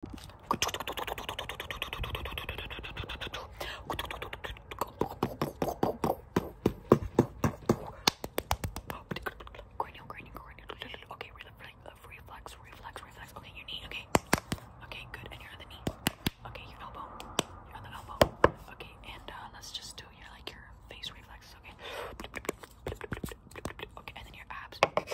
Cranial, cranial, cranial. Okay, reflex, reflex, reflex. Okay, your knee. Okay, okay, good. And your other knee. Okay, your elbow. Your other elbow. Okay, and uh, let's just do your like your face reflexes. Okay. Okay, and then your abs. Okay.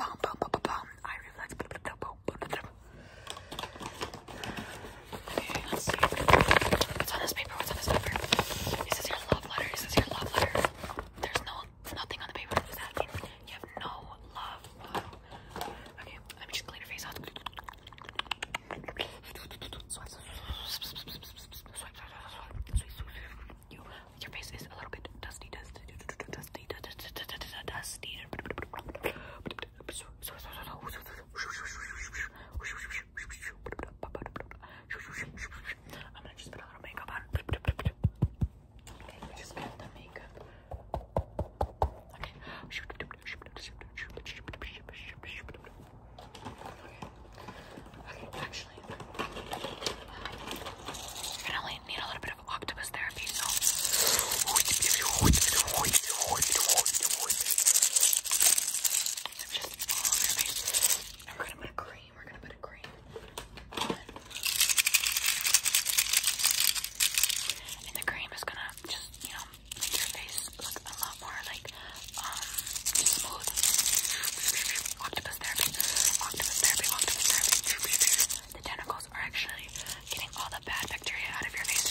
I reflex. Okay, let's see. What's on this paper? What's on this paper? Is your love letter? Is your love letter? There's no nothing on the paper. Does that you have no love? Okay, let me just clean your face out swipe, swipe, swipe, swipe, swipe. You, your face is a little bit dusty, dusty, dusty, dusty, dusty, dusty. I'm gonna just put a little makeup on. Okay, we just got the makeup. Okay actually, you're gonna only need a little bit of octopus therapy, so. So just all over we're gonna put cream, we're gonna put a cream And the cream is gonna just, you know, your face look a lot more like um smooth. Octopus therapy, octopus therapy, octopus therapy. The tentacles are actually getting all the bad bacteria out of your face.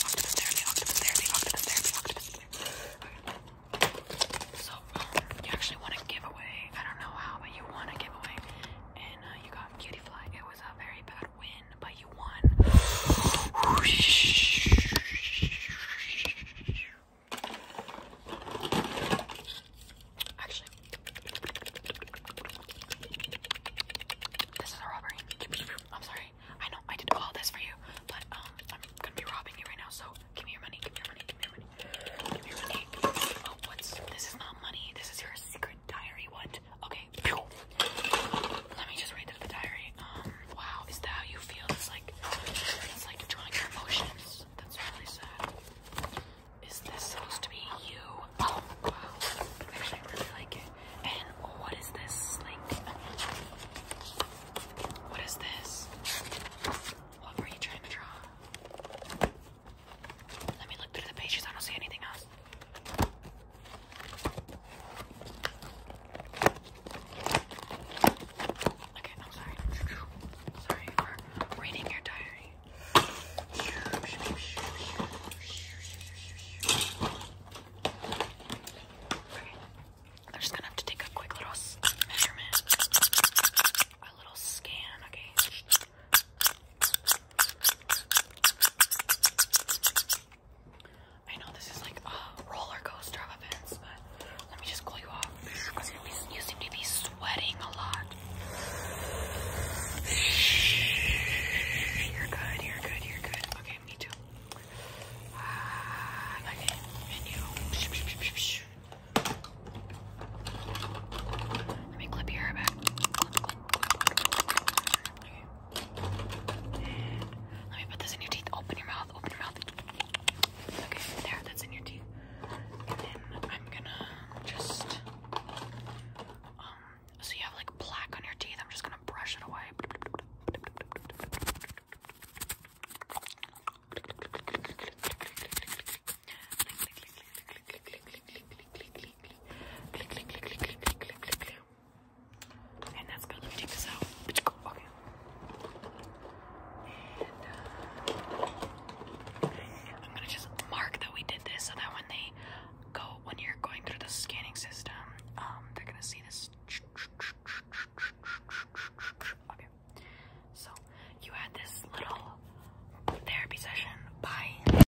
Octopus therapy, octopus therapy, octopus therapy, octopus therapy. Okay. So um, you actually want to give away. I don't know how, but you want to give away. And uh, you got cutie fly. It was a very bad win but you won. Actually, this is a robbery. I'm sorry. I know I did all this for you, but um, I'm gonna be robbing you right now. So give me your money. Give me your money. Give me your money. Give me your money. Oh, what's this? Is not money. This is your secret diary. What? Okay. Let me just read through the diary. Um, wow, is that how you feel? It's like it's like drawing your emotions. That's really sad. Is this supposed to be you? Oh wow. Actually really like it. And what is this? Like what is this? What were you trying to draw? Let me look through the pages, I don't see anything else. Okay, I'm sorry. Sorry for reading your diary. Okay. I'm just gonna have to take a quick little measurement. A little scan, okay? I know this is like a roller coaster of events, but let me just cool you off because you seem to be sweating a lot. You're good, you're good, you're good. Okay, me too. Ah, let me clip your hair back. Let me put this in your teeth. Open your mouth. Open your mouth. Okay, there. That's in your teeth. And I'm gonna just. Um, so you have like plaque on your teeth. I'm just gonna brush it away click, click, click, click, click, click, click, click, click. And that's good. Let me take this out. Okay. And uh, I'm gonna just mark that we did this so that when they go, when you're going through the scanning system, um, they're gonna see this. Okay. So you had this little therapy session. Bye.